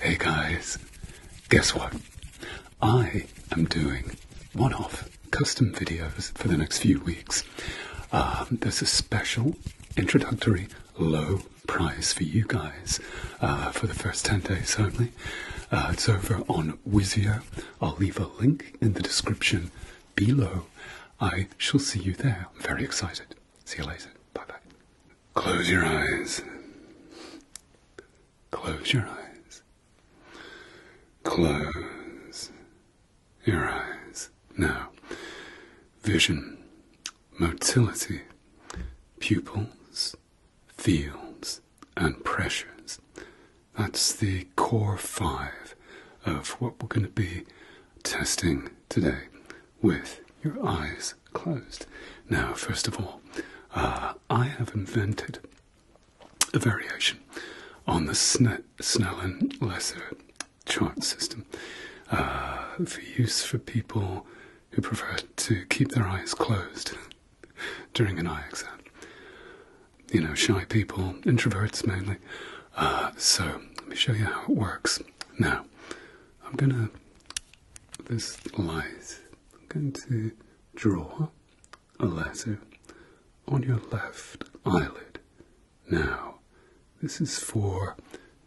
Hey guys, guess what? I am doing one off custom videos for the next few weeks. Um, there's a special introductory low price for you guys uh, for the first 10 days only. Uh, it's over on Wizio. I'll leave a link in the description below. I shall see you there. I'm very excited. See you later. Bye bye. Close your eyes. Close your eyes. Close your eyes. Now, vision, motility, pupils, fields, and pressures. That's the core five of what we're going to be testing today with your eyes closed. Now, first of all, uh, I have invented a variation on the Snellen Lesser chart system uh, for use for people who prefer to keep their eyes closed during an eye exam. You know, shy people, introverts mainly. Uh, so, let me show you how it works. Now, I'm gonna this lies. I'm going to draw a letter on your left eyelid. Now, this is for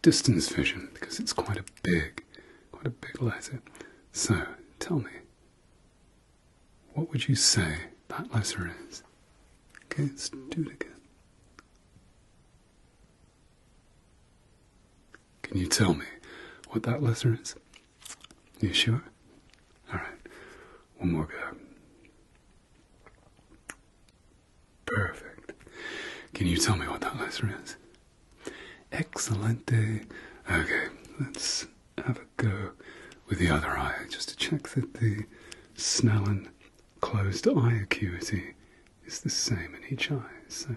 distance vision because it's quite a big, quite a big letter. So, tell me, what would you say that letter is? Okay, let's do it again. Can you tell me what that letter is? You sure? All right. One more go. Perfect. Can you tell me what that letter is? Excelente. Okay, let's have a go with the other eye just to check that the Snellen closed eye acuity it's the same in each eye. So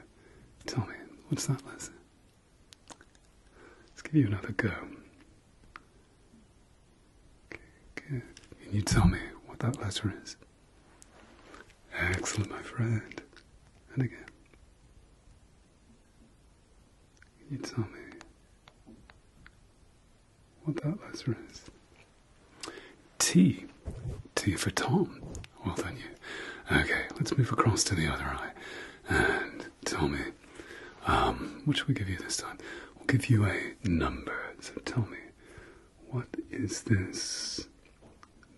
tell me, what's that lesson? Let's give you another go. Can you tell me what that letter is? Excellent, my friend. And again. Can you tell me what that letter is? T. T for Tom. Well done, you. Okay, let's move across to the other eye. And tell me, um, what should we give you this time? We'll give you a number. So tell me, what is this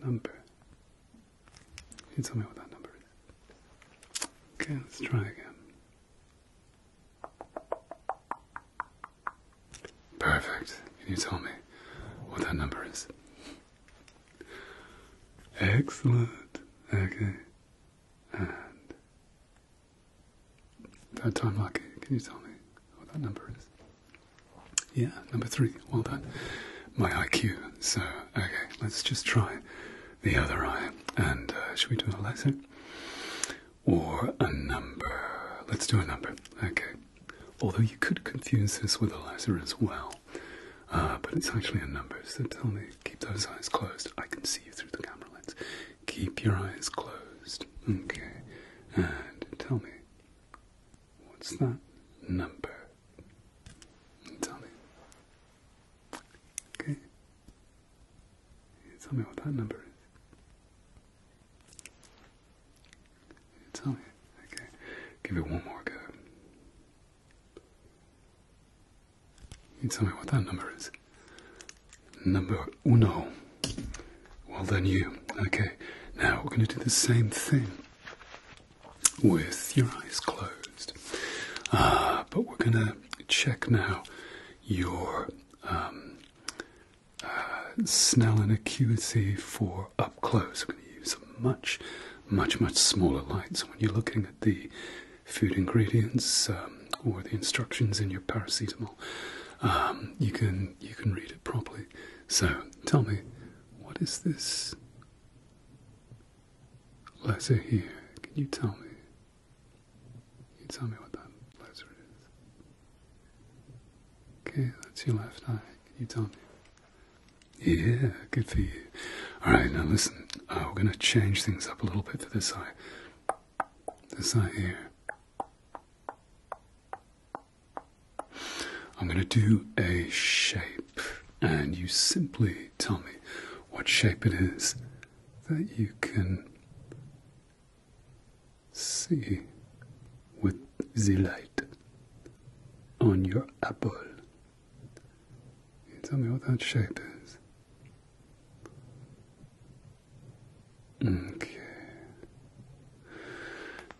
number? Can you tell me what that number is? Okay, let's try again. Perfect. Can you tell me what that number is? Excellent. Okay. And third time lucky. Can you tell me what that number is? Yeah, number three. Well done. My IQ. So, okay, let's just try the other eye. And uh, should we do a laser or a number? Let's do a number. Okay. Although you could confuse this with a laser as well. Uh, but it's actually a number, so tell me, keep those eyes closed. I can see you through the camera lens. Keep your eyes closed. Okay. And tell me, what's that number? Tell me. Okay. Tell me what that number is. Tell me. Okay. Give it one more go. You tell me what that number is. Number uno. Well then you. Okay. Now we're going to do the same thing with your eyes closed. Uh, but we're going to check now your um, uh, Snellen acuity for up up close, we're going to use a much, much, much smaller light. So when you're looking at the food ingredients um, or the instructions in your paracetamol, um, you can you can read it properly. So tell me, what is this letter here? Can you tell me? you tell me what that laser is? Okay, that's your left eye. Can you tell me? Yeah, good for you. All right, now listen. Uh, we're going to change things up a little bit for this eye. This eye here. I'm going to do a shape, and you simply tell me what shape it is that you can see with the light on your apple. Can tell me what that shape is? Okay.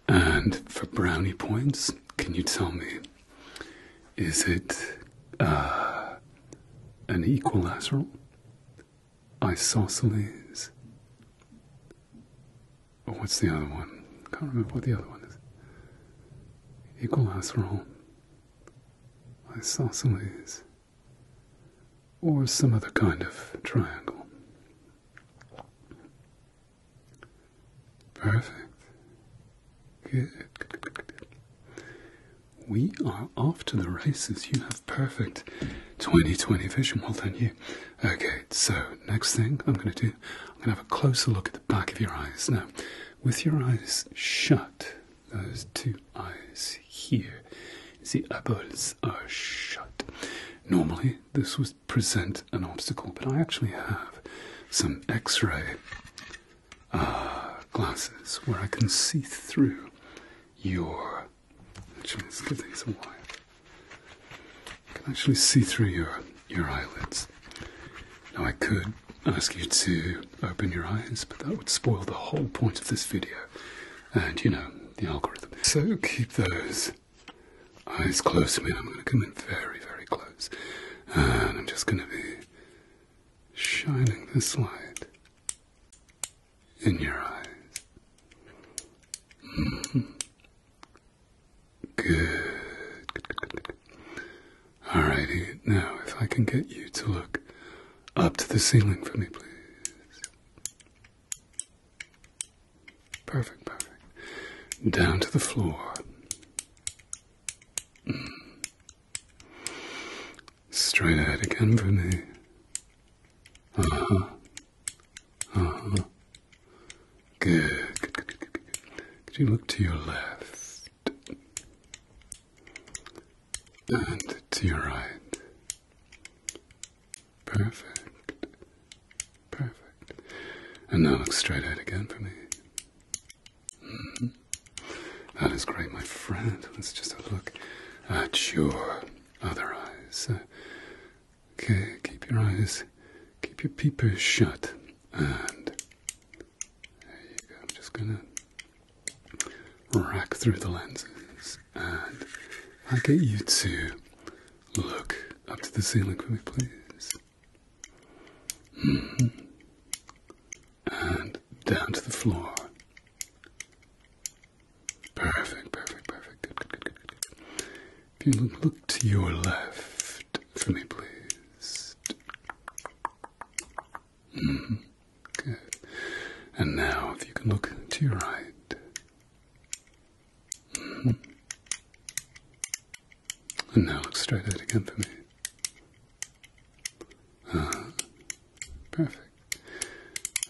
And for brownie points, can you tell me, is it uh, an equilateral, isosceles, Oh, what's the other one? Can't remember what the other one is. Equilateral isosceles, or some other kind of triangle. Perfect. Good. We are off to the races. You have perfect 2020 vision. Well done, you. Okay, so next thing I'm going to do, I'm going to have a closer look at back of your eyes. Now, with your eyes shut, those two eyes here, the eyeballs are shut. Normally, this would present an obstacle, but I actually have some x ray uh, glasses where I can see through your. Actually, let's give these a while. I can actually see through your your eyelids. Now I could ask you to open your eyes, but that would spoil the whole point of this video. And you know, the algorithm. So keep those eyes close to I'm gonna come in very, very close. And I'm just gonna be shining this light in your eyes. Mm-hmm. Good, good, good, Alrighty, now if I can get you to look up to the ceiling for me, please. Perfect, perfect. Down to the floor. Mm. Straight ahead again for me. Uh huh. Uh huh. Good, good, good, good, good, good. Could you look to your left and to your right? Perfect, perfect. And now look straight ahead again for me. Mm-hmm. That is great, my friend. Let's just have a look at your other eyes. Okay, keep your eyes, keep your peepers shut. And I'm just gonna rack through the lenses and I get you to look up to the ceiling for me, please. Mm-hmm. And down to the floor. Perfect, perfect, perfect. If you look, to your left for me, please. Mm-hmm. Good. And now, if you can look to your right. Mm-hmm. And now look straight ahead again for me. Ah, perfect.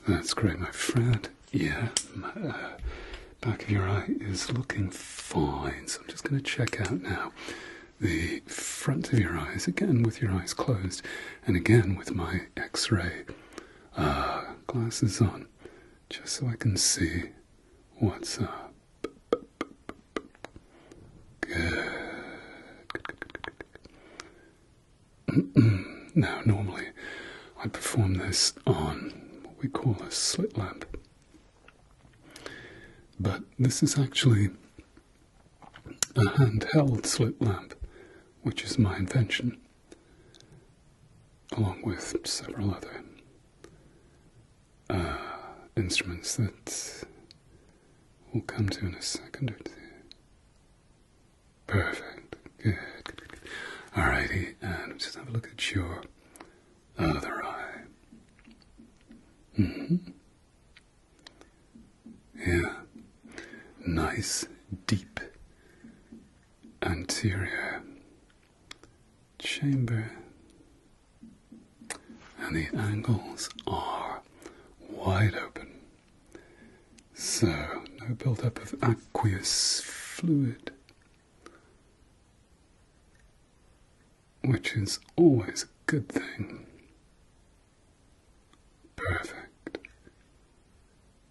That's great, my friend. Yeah. Uh, back of your eye is looking fine. So I'm just going to check out now the front of your eyes again with your eyes closed and again with my x ray uh, glasses on just so I can see what's up. Good. Now, normally I perform this on what we call a slit lamp. But this is actually a handheld slit lamp, which is my invention, along with several other uh, instruments that we'll come to in a second or two. Perfect. Good. All righty. good. Alrighty, just have a look at your other eye. Mm-hmm. Yeah, nice deep anterior chamber, and the angles are wide open, so no buildup of aqueous fluid which is always a good thing. Perfect.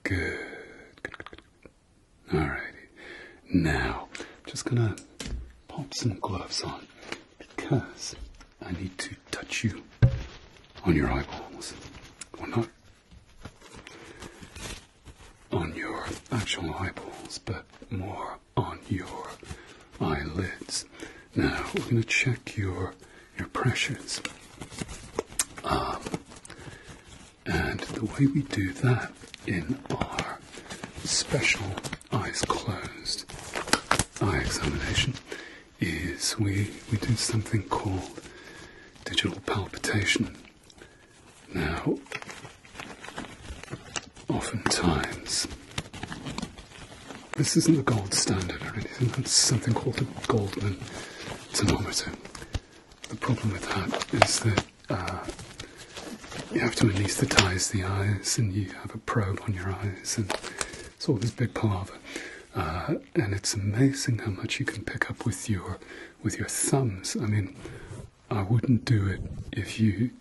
Good. Good, good, Now, I'm just gonna pop some gloves on because I need to touch you on your eyeballs. Or not on your actual eyeballs, but more on your eyelids. Now we're going to check your your pressures. Um, and the way we do that in our special eyes closed eye examination is we we do something called digital palpitation. Now, oftentimes, this isn't the gold standard or anything, that's something called the Goldman thermometer. The problem with that is that uh, you have to anesthetize the eyes and you have a probe on your eyes, and it's all this big palaver. Uh, and it's amazing how much you can pick up with your with your thumbs. I mean, I wouldn't do it if you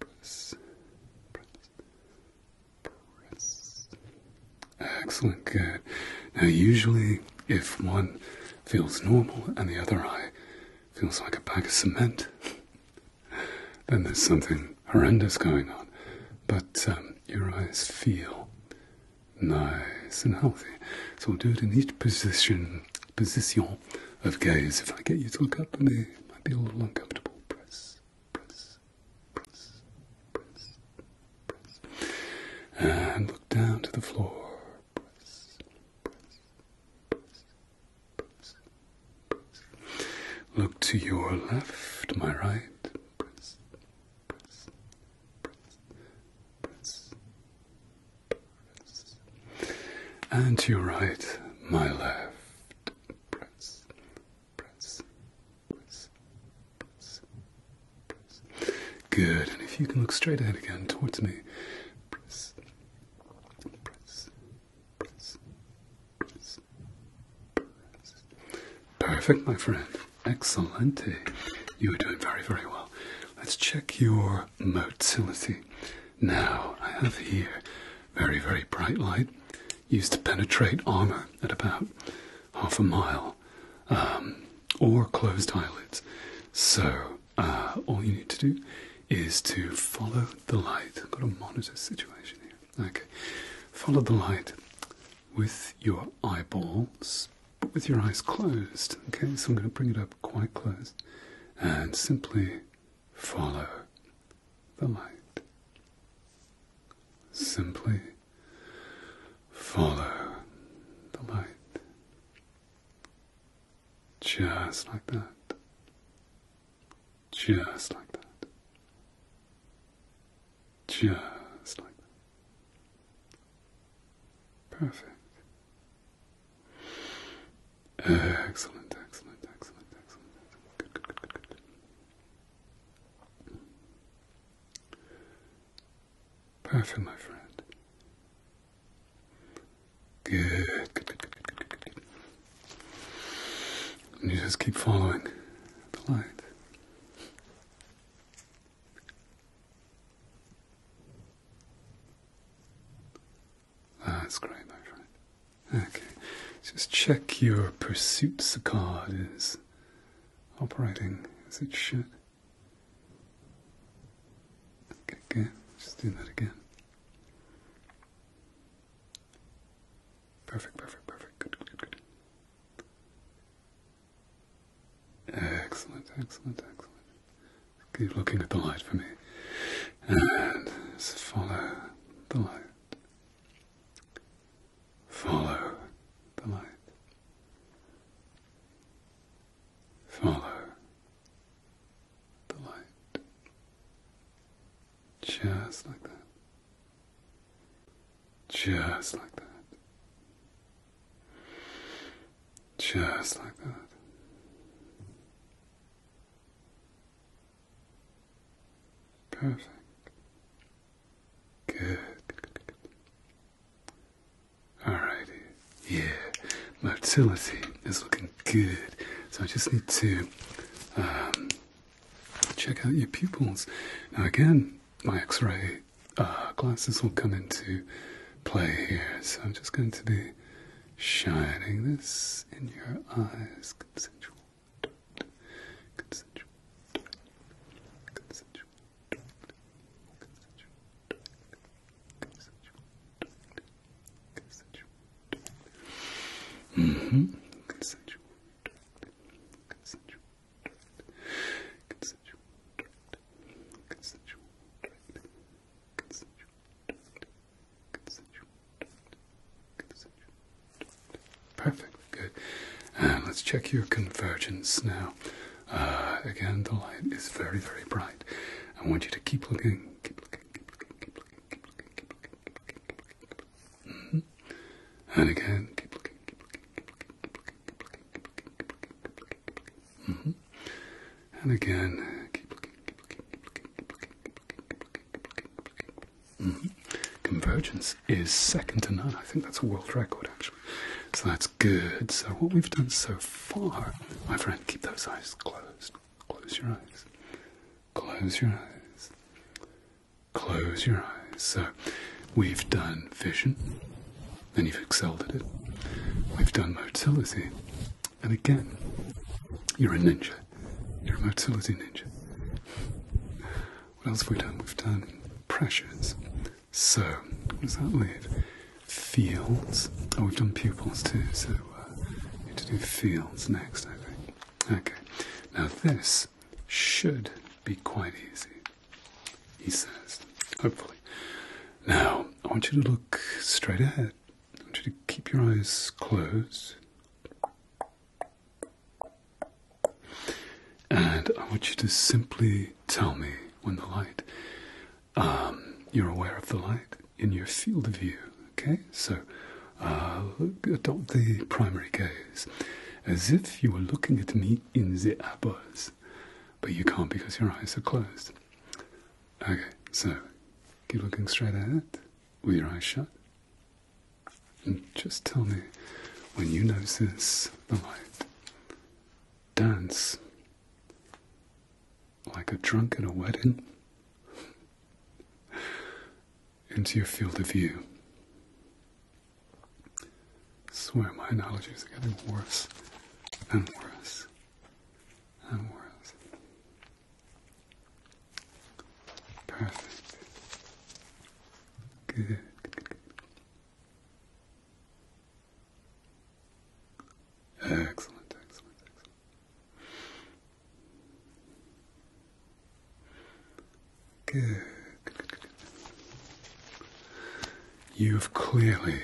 Press. Press. Excellent, good. Now, usually, if one feels normal and the other eye feels like a bag of cement, then there's something horrendous going on. But um, your eyes feel nice and healthy. So we'll do it in each position position of gaze. If I get you to look up, and it might be a little uncomfortable. Press, press, press, press, press. And look down to the floor. Press, press, press, press, press. Look to your left, my right. press, press, press, press, and to your right, my left, press, press, press, press, press. Good, and if you can look straight ahead again towards me, press, press, press, press, press. Perfect, my friend. Excellent. You are doing very, very well. Let's check your motility now. I have here very, very bright light used to penetrate armor at about half a mile um, or closed eyelids. So, uh, all you need to do is to follow the light. I've got a monitor situation here. Okay, follow the light with your eyeballs, but with your eyes closed. Okay, so I'm going to bring it up quite close and simply follow the light. Simply follow the light. Just like that. Just like that. Just like that. Perfect. Uh, excellent, excellent, excellent, excellent. Good, good, good, good, good. Perfect, my friend. Good, good, good, good, good, good, good, And you just keep following the light. Ah, that's great, my Okay, just check your pursuits card is operating as it should. Okay, good. Just do that again. Perfect, perfect, perfect. good, good, good. Excellent, excellent, excellent. Keep looking at the light for me. And follow the light. Follow the light. Follow the light. Just like that. Just like that. Just like that. Perfect. Good. good, good, Yeah. Motility is looking good. So I just need to um, check out your pupils. Now again, my X-ray uh, glasses will come into play here. So I'm just going to be shining this in your eyes consensual. Consensual. Consensual. Consensual. Consensual. Consensual. Consensual. Consensual. Consensual. Consensual. Perfect, good. let's check your convergence now. again, the light is very, very bright. I want you to keep looking, And again, and again, Convergence is second to none. I think that's a world record, actually. So that's good. So, what we've done so far, my friend, keep those eyes closed. Close your eyes. Close your eyes. Close your eyes. So, we've done vision, and you've excelled at it. We've done motility, and again, you're a ninja. You're a motility ninja. What else have we done? We've done pressures. So, what does that leave? Fields. Oh, we've done pupils too, so we uh, need to do fields next, Okay. Now, this should be quite easy, he says, hopefully. Now, I want you to look straight ahead. I want you to keep your eyes closed. And I want you to simply tell me when the light, um, you're aware of the light in your field of view, okay? So uh, look, adopt the primary gaze as if you were looking at me in the abyss, but you can't because your eyes are closed. Okay, so keep looking straight ahead with your eyes shut. And just tell me when you notice the light. Dance like a drunk at a wedding into your field of view. I swear my analogies are getting worse and worse and worse. Perfect. Good. Excellent, excellent, good. You've clearly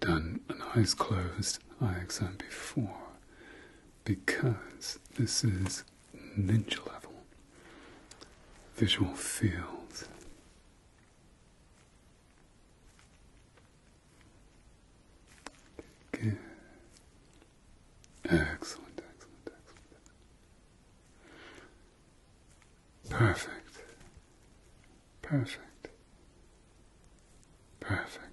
done an eyes closed eye exam before because this is ninja level visual field. Good. Excellent, excellent, excellent. Perfect. Perfect. Perfect.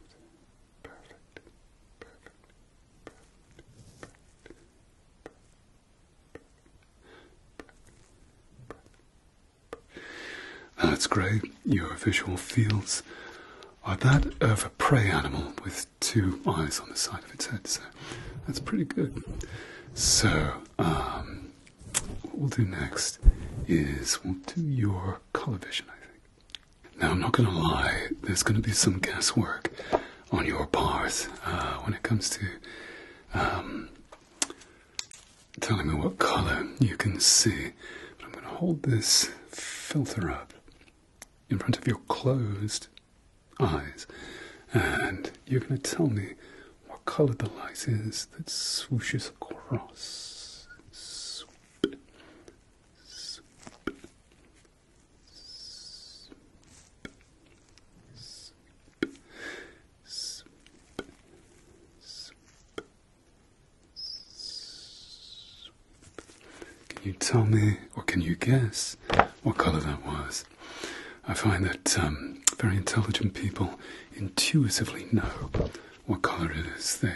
That's great. Your visual fields are that of a prey animal with two eyes on the side of its head, so that's pretty good. So, what we'll do next is we'll do your color vision, I think. Now, I'm not going to lie, there's going to be some guesswork on your part uh, when it comes to um, telling me what color you can see. But I'm going to hold this filter up in front of your closed eyes, and you're going to tell me what color the light is that swooshes across. Can you tell me, or can you guess, what colour that was? I find that um, very intelligent people intuitively know what colour it is they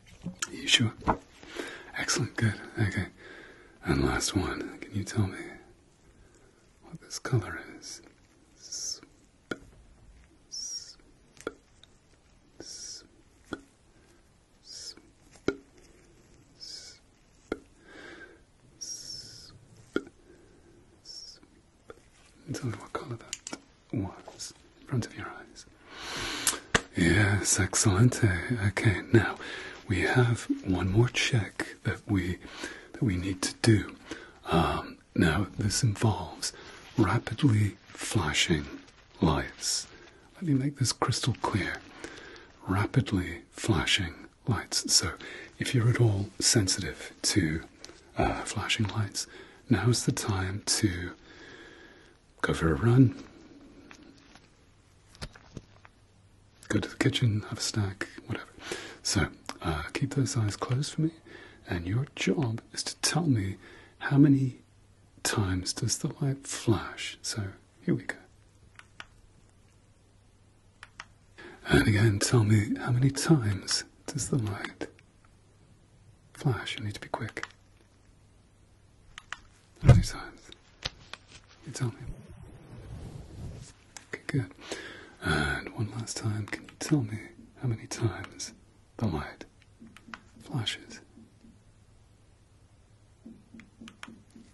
Are you sure? Excellent, good, okay. And last one, can you tell me what this color is? Tell me what color that was in front of your eyes. Yes, excellent. Okay, now we have one more check that we that we need to do. Um, now this involves rapidly flashing lights. Let me make this crystal clear. Rapidly flashing lights. So, if you're at all sensitive to uh, flashing lights, now's the time to go for a run, go to the kitchen, have a snack, whatever. So uh, keep those eyes closed for me, and your job is to tell me how many times does the light flash. So here we go. And again, tell me how many times does the light flash? You need to be quick. How many times? You tell me. Okay, good. And one last time, can you tell me how many times the light flashes?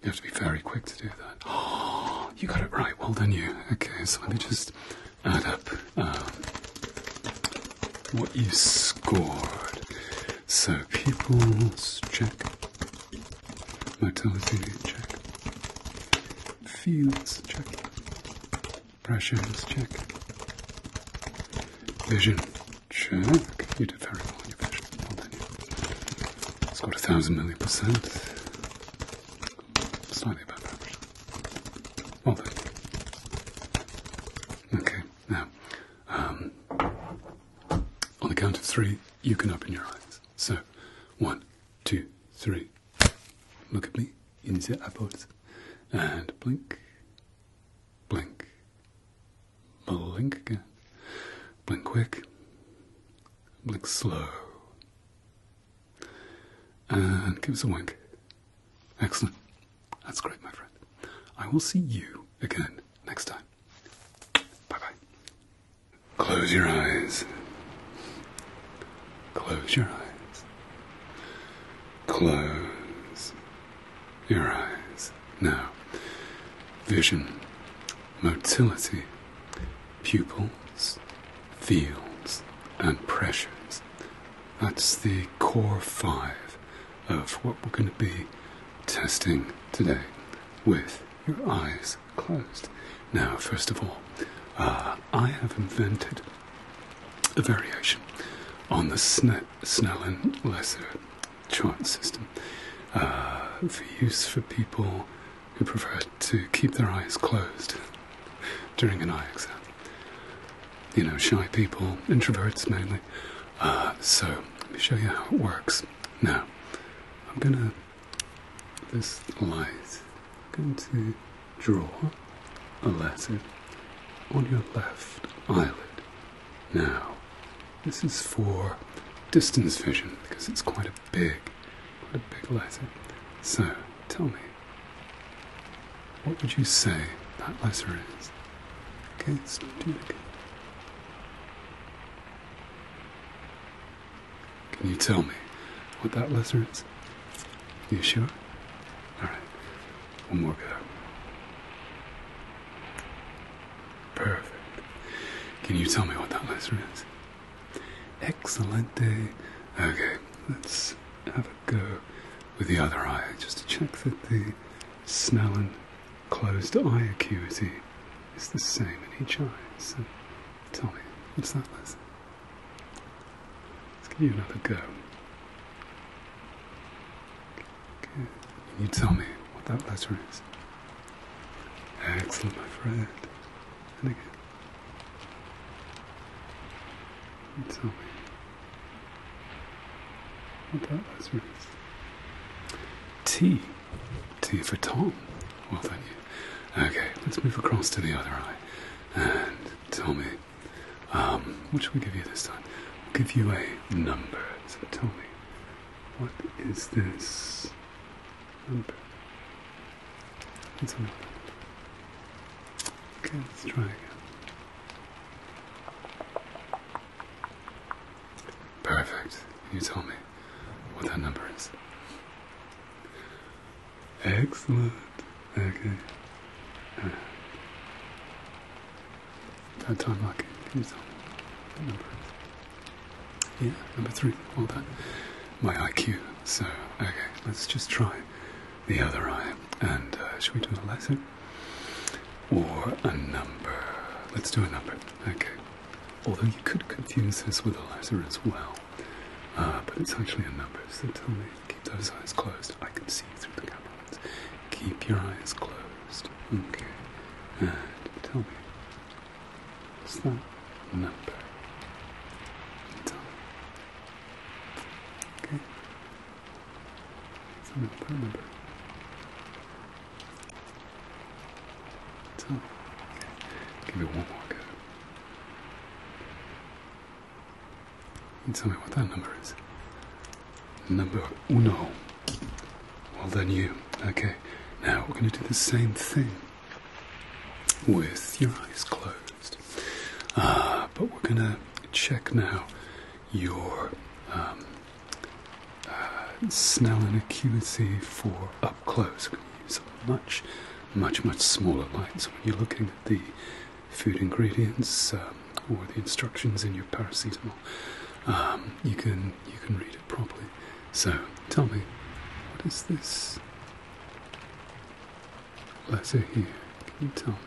You have to be very quick to do that. Oh, you got it right. Well done, you. Okay, so let me just add up um, what you scored. So people's check, motility check, fields check, pressures check, vision check. You did very well in your vision. it done. You. Scored a thousand million percent. Slightly above average. Okay. Now, um, on the count of three, you can open your eyes. So, one, two, three. Look at me insert the eyeballs. And blink, blink, blink again. Blink quick, blink slow. And give us a wink. Excellent. That's great, my friend. I will see you again next time. Bye bye. Close your eyes. Close your eyes. Close your eyes. Now, vision, motility, pupils, fields, and pressures. That's the core five of what we're going to be testing today with your eyes closed. Now, first of all, uh, I have invented a variation on the Snellen-Lesser chart system uh, for use for people who prefer to keep their eyes closed during an eye exam you know, shy people, introverts mainly. Uh, so let me show you how it works. Now, I'm gonna this light. I'm going to draw a laser on your left eyelid. Now, this is for distance vision because it's quite a big, quite a big laser. So tell me, what would you say that letter is? Okay, let's do it again. Can you tell me what that letter is? You sure? All right, one more go. Perfect. Can you tell me what that letter is? Excelente. Okay, let's have a go with the other eye just to check that the smell closed eye acuity is the same in each eye. So tell me, what's that, letter? Let's give you another go. Okay. Can you tell me what that letter is? Excellent, my friend. And again. And tell me that was right. T. T for Tom. Well done, Okay, let's move across to the other eye. And tell me, um, what should we give you this time? We'll give you a number. So tell me, what is this number? What's a number? Okay, let's try again. Perfect. you tell me what that number is? Excellent. Okay. Uh, that time lucky. Yeah, number three. Well done. My IQ. So, okay, let's just try the other eye. And uh, should we do a lesson? or a number. Let's do a number. Okay. Although you could confuse this with a letter as well, uh, but it's actually a number. So tell me, keep those eyes closed. I can see through the camera Keep your eyes closed. Okay. And tell me, what's that number? Tell me. Okay. It's not a part number. So, give it one more go. tell me what that number is. Number uno. Well done, you. Okay, now we're going to do the same thing with your eyes closed. Uh, but we're going to check now your um, uh, smell and acuity for up close. When you use a much, much, much smaller light. So when you're looking at the food ingredients um, or the instructions in your paracetamol, um, you can you can read it properly. So tell me, what is this letter here? Can you tell me?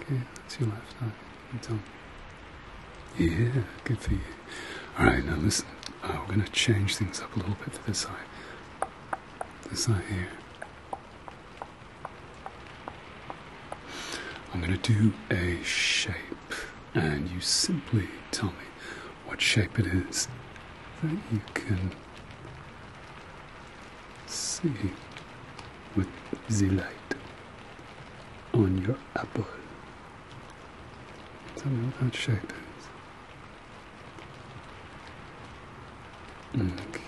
Okay, that's your left eye. You tell me. Yeah, good for you. Alright, now listen. Uh, we're going to change things up a little bit to this eye. This eye here. I'm going to do a shape, and you simply tell me what shape it is that you can see with the light on your apple. Tell me what Okay.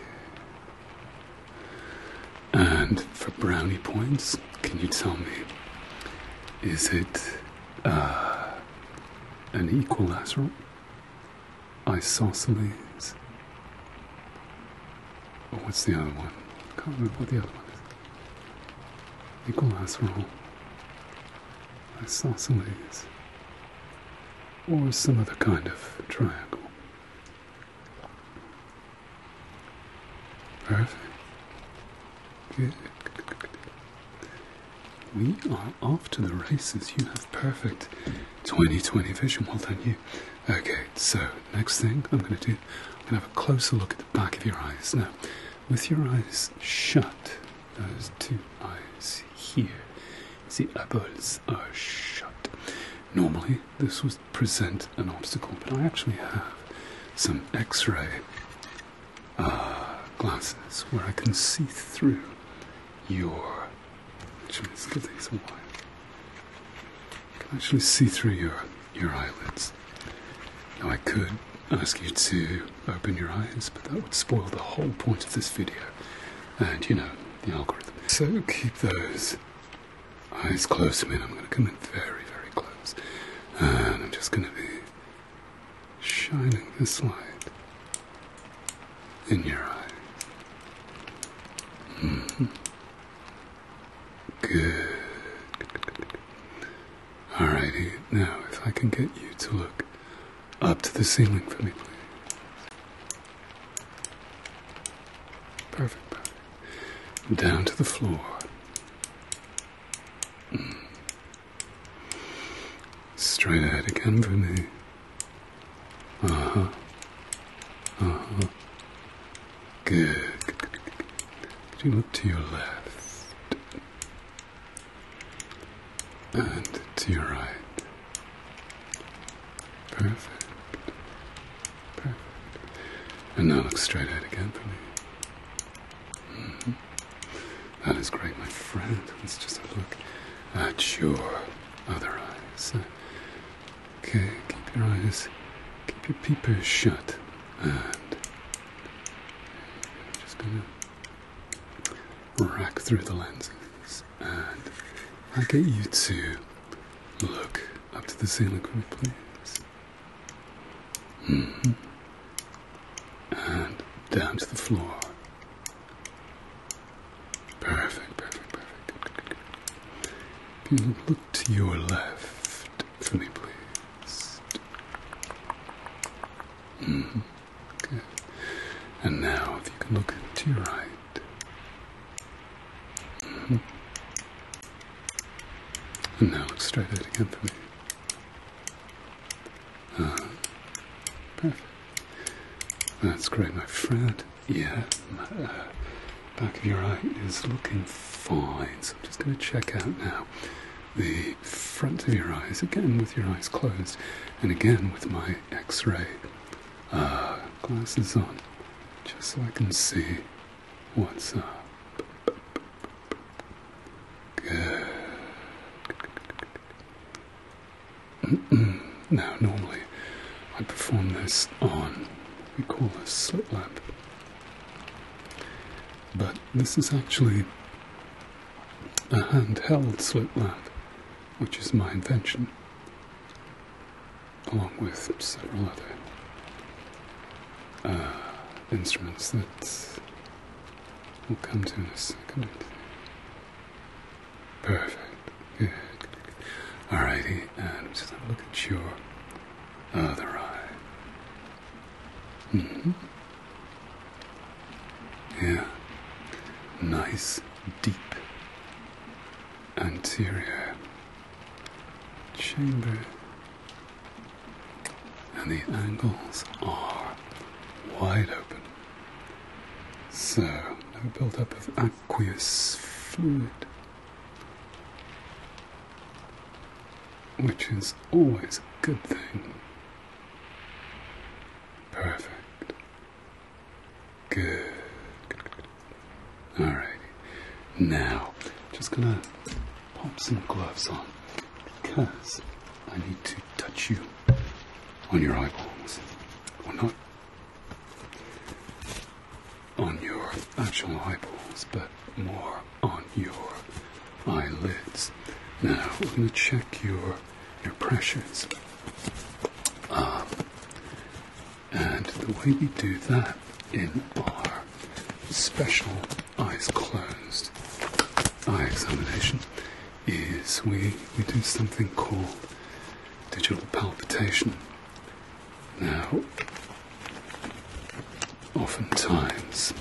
And for brownie points, can you tell me, is it uh, an equilateral? Isosceles. Oh, what's the other one? I can't remember what the other one is. Nicholas roll. Isosceles. Or some other kind of triangle. Perfect. Good. We are off to the races. You have perfect 2020 vision. Well done, you. Okay, so next thing I'm going to do, I'm going to have a closer look at the back of your eyes. Now, with your eyes shut, those two eyes here, the eyeballs are shut. Normally, this would present an obstacle, but I actually have some x ray uh, glasses where I can see through your Actually, give these a while. I can actually see through your, your eyelids. Now, I could ask you to open your eyes, but that would spoil the whole point of this video. And, you know, the algorithm. So keep those eyes closed to I'm going to come in very, very close. And I'm just going to be shining this light in your eyes. Mm Good. Alrighty, now if I can get you to look up to the ceiling for me, please. Perfect, Down to the floor. Mm. Straight ahead again for me. Uh huh. Uh huh. Good. Good, you look to your left and to your right? Perfect. Perfect. And now look straight ahead again for me. Mm-hmm. That is great, my friend. Let's just have a look at your other okay, keep your eyes, keep your peepers shut, and just gonna rack through the lenses, and I get you to look up to the ceiling please. Mm-hmm. And down to the floor. Perfect, perfect, perfect. Good, good, good. Can you look to your left for me, please? Mm -hmm. Good. And now, if you can look to your right. Mm -hmm. And now, look straight ahead again for me. That's great, my friend. Yeah, my, uh, back of your eye is looking fine. So I'm just going to check out now the front of your eyes again with your eyes closed, and again with my X-ray uh, glasses on, just so I can see what's up. Good. now, normally I perform this on what we call a slit lamp, but this is actually a handheld slit lamp, which is my invention, along with several other. Uh, instruments that will come to in a second. Perfect. All righty, and I'm just look at your other eye. Mm-hmm. Yeah. Nice, deep anterior chamber. And the angles are wide open. So, no buildup of aqueous fluid, which is always a good thing. Perfect. Good. good, Now, just gonna pop some gloves on because I need to touch you on your eyeballs, or not on your actual eyeballs, but more on your eyelids. Now we're going to check your your pressures, um, and the way we do that in our special eyes closed eye examination is we, we do something called digital palpitation. Now, oftentimes,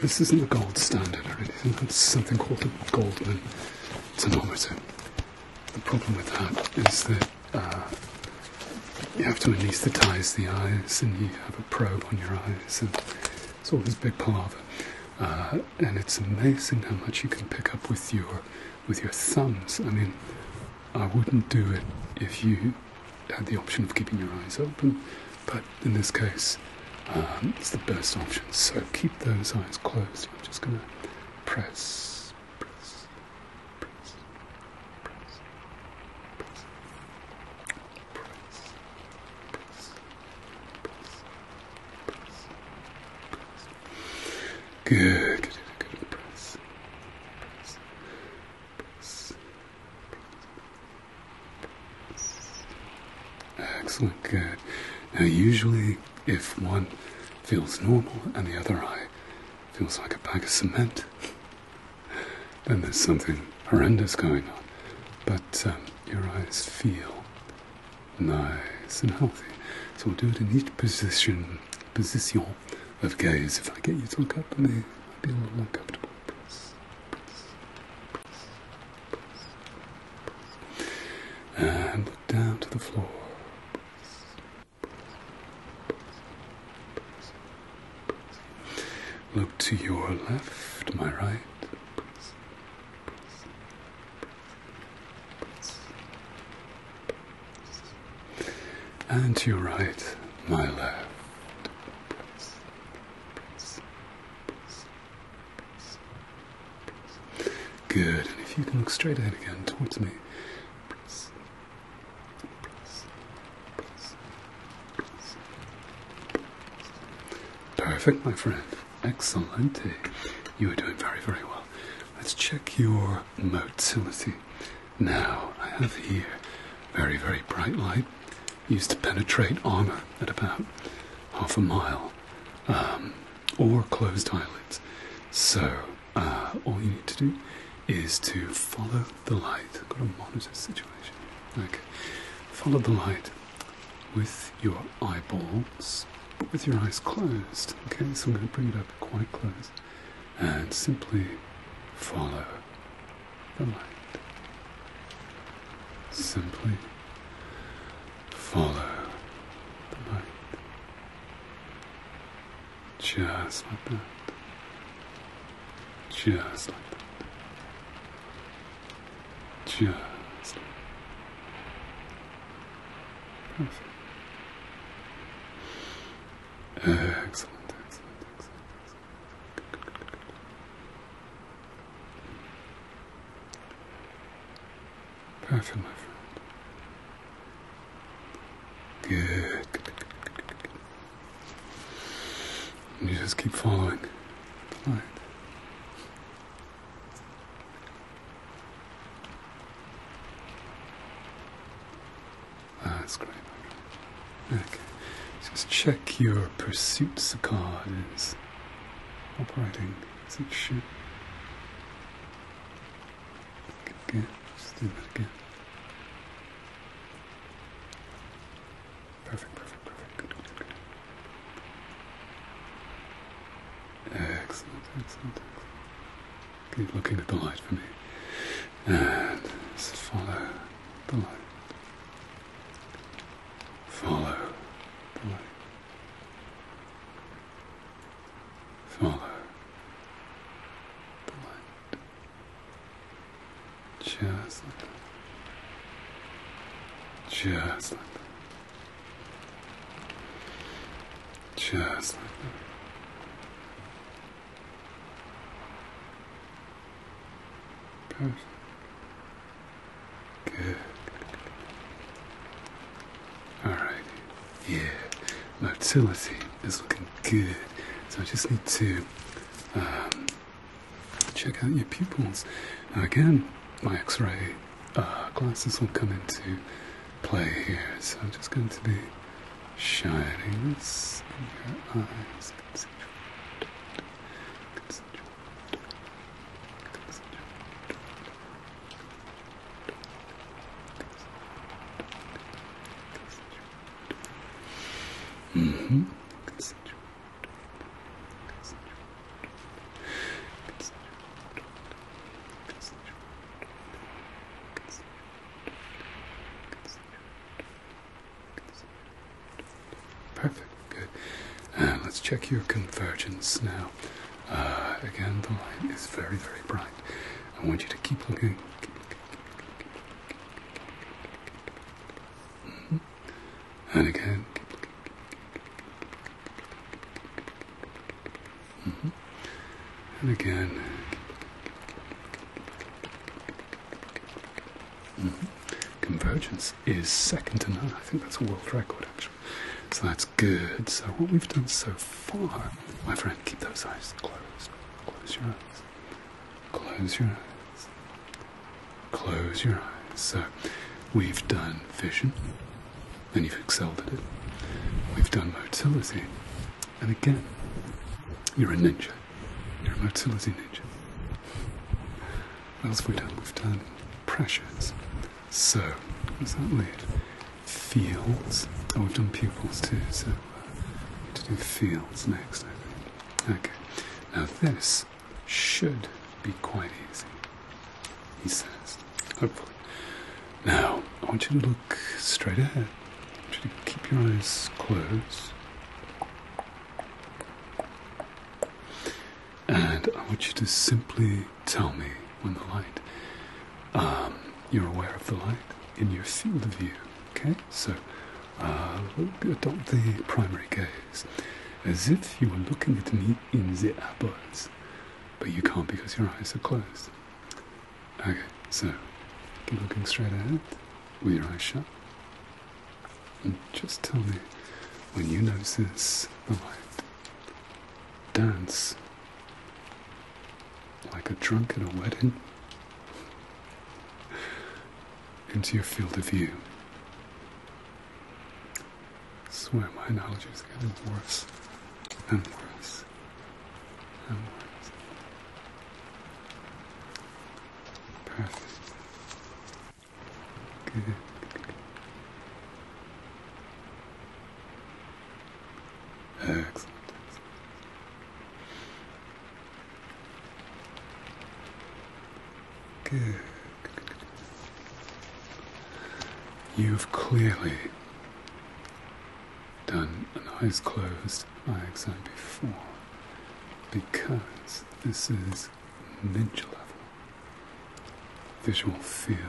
this isn't the gold standard or anything, it's something called the Goldman tonometer. The problem with that is that uh, you have to anesthetize the eyes and you have a probe on your eyes, and it's all this big part of it and it's amazing how much you can pick up with your with your thumbs. I mean, I wouldn't do it if you had the option of keeping your eyes open, but in this case, um, it's the best option. So keep those eyes closed. I'm just gonna press, press, press, press, press, press, Good, good, good. Press, press, press, Excellent, good. Now, usually, if one feels normal and the other eye feels like a bag of cement, then there's something horrendous going on. But um, your eyes feel nice and healthy. So we'll do it in each position, position of gaze. If I get you to look up, i may be a little uncomfortable. Press, press, press, press, and look down to the floor. Look to your left, my right. Press, press, press, and to your right, my left. Good, and if you can look straight ahead again towards me. Perfect, my friend. Excellent. You are doing very, very well. Let's check your motility. Now, I have here very, very bright light used to penetrate armor at about half a mile, um, or closed eyelids. So, uh, all you need to do is to follow the light. I've got a monitor situation. Okay. Follow the light with your eyeballs, with your eyes closed. Okay, so I'm going to bring it up quite close and simply follow the light. Simply follow the light. Just like that. Just like that. Just Excellent, excellent, excellent, Perfect, Good, You just keep following Ah, that's great. Okay. Just check your pursuits card is operating as it should. Okay, just do that again. Perfect, perfect, perfect. Excellent, excellent, Keep looking at the light for me. And follow the light. Follow the light. Follow the light. Just Just like that. Just like that. Good. Good. Alrighty. Yeah. Motility is looking good. So I just need to um, check out your pupils. again, my x-ray uh, glasses will come into play here. So I'm just going to be shining in your eyes. Mm-hmm. Perfect, good. Uh, let's check your convergence now. Uh, again, the light is very, very bright. I want you to keep looking. Mm-hmm and again. And mm-hmm. again. Mm-hmm. Convergence is second to none. I think that's a world record, actually. So that's good. So, what we've done so far, my friend, keep those eyes closed. Close your eyes. Close your eyes. Close your eyes. So, we've done vision, and you've excelled at it. We've done motility, and again, you're a ninja. You're a motility ninja. What else have we done? We've done pressures. So, what does that lead? Fields. Oh, we've done pupils too, so uh, we need to do fields next, I think. Okay. Now this should be quite easy, he says, hopefully. Now, I want you to look straight ahead. I want you to keep your eyes closed. And I want you to simply tell me when the light, um, you're aware of the light in your field of view. Okay? So, uh, adopt the primary gaze as if you were looking at me in the eyeballs but you can't because your eyes are closed. Okay, so keep looking straight ahead with your eyes shut. And just tell me when you notice the light. Dance like a drunk at a wedding into your field of view swear my analogies is getting worse and worse and worse. Perfect. Good. Excellent. Good. You've clearly done an eyes closed eye exam before because this is ninja level visual field.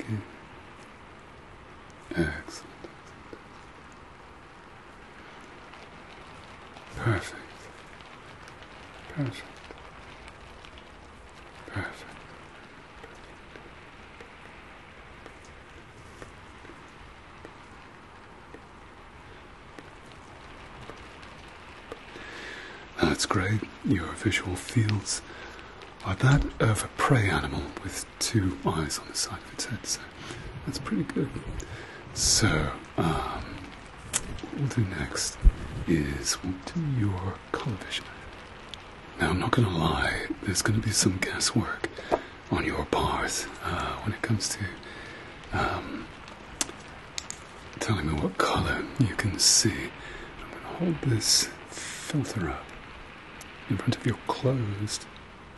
Okay. Excellent. Perfect. Perfect. Perfect. That's great. Your visual fields are that of a prey animal with two eyes on the side of its head that's pretty good. So, what um, we'll do next is we'll do your color vision. Now, I'm not gonna lie, there's gonna be some guesswork on your bars uh, when it comes to um, telling me what color you can see. I'm gonna hold this filter up in front of your closed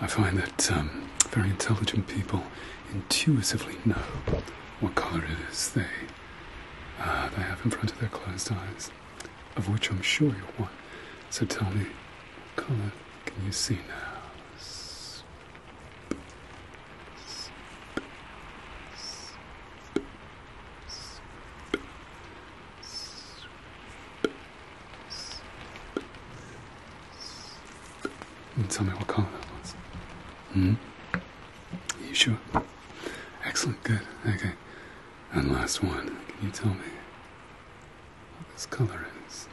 I find that um, very intelligent people intuitively know what colour it is they, uh, they have in front of their closed eyes, of which I'm sure you're one. So tell me, colour can you see now? And tell me what color that was. Hmm? Are you sure? Excellent, good. Okay. And last one. Can you tell me what this color is?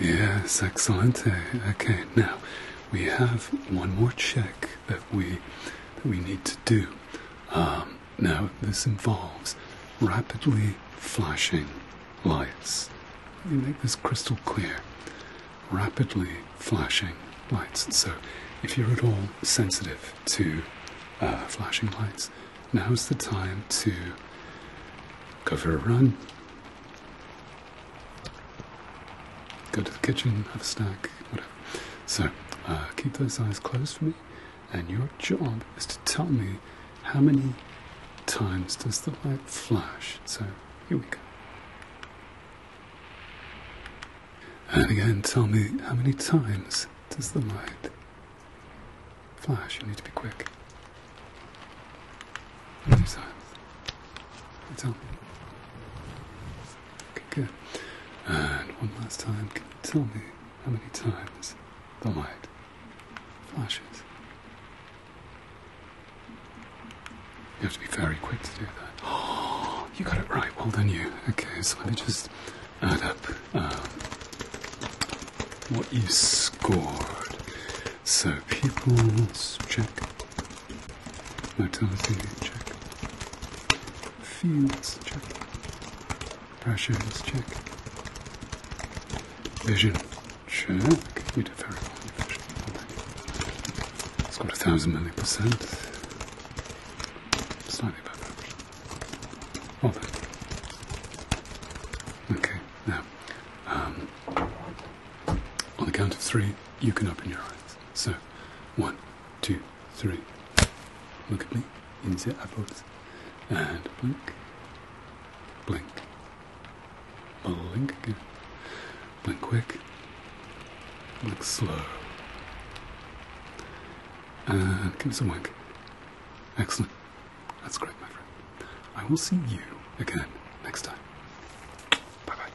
Yes, excellent. Eh, okay, now we have one more check that we that we need to do. Um, now this involves rapidly flashing lights. Let me make this crystal clear. Rapidly flashing lights. So, if you're at all sensitive to uh, flashing lights, now's the time to go for a run, go to the kitchen, have a snack, whatever. So, uh, keep those eyes closed for me, and your job is to tell me how many times does the light flash. So, here we go. And again, tell me how many times does the light flash? You need to be quick. How many times? Tell me. good. And one last time, can you tell me how many times the light flashes? You have to be very quick to do that. Oh, you got it right. Well done, you. Okay, so let me just add up um, what you scored. So, people's check, motility check, fields check, pressures check, vision check. You did very well. It's got a thousand million percent. Slightly better. Hold Okay, now, um, on the count of three, you can open your eyes. So, one, two, three. Look at me in the eyeballs. And blink, blink, blink again. Blink quick. Look slow. Uh, give me some wink. Excellent. That's great, my friend. I will see you again next time. Bye bye.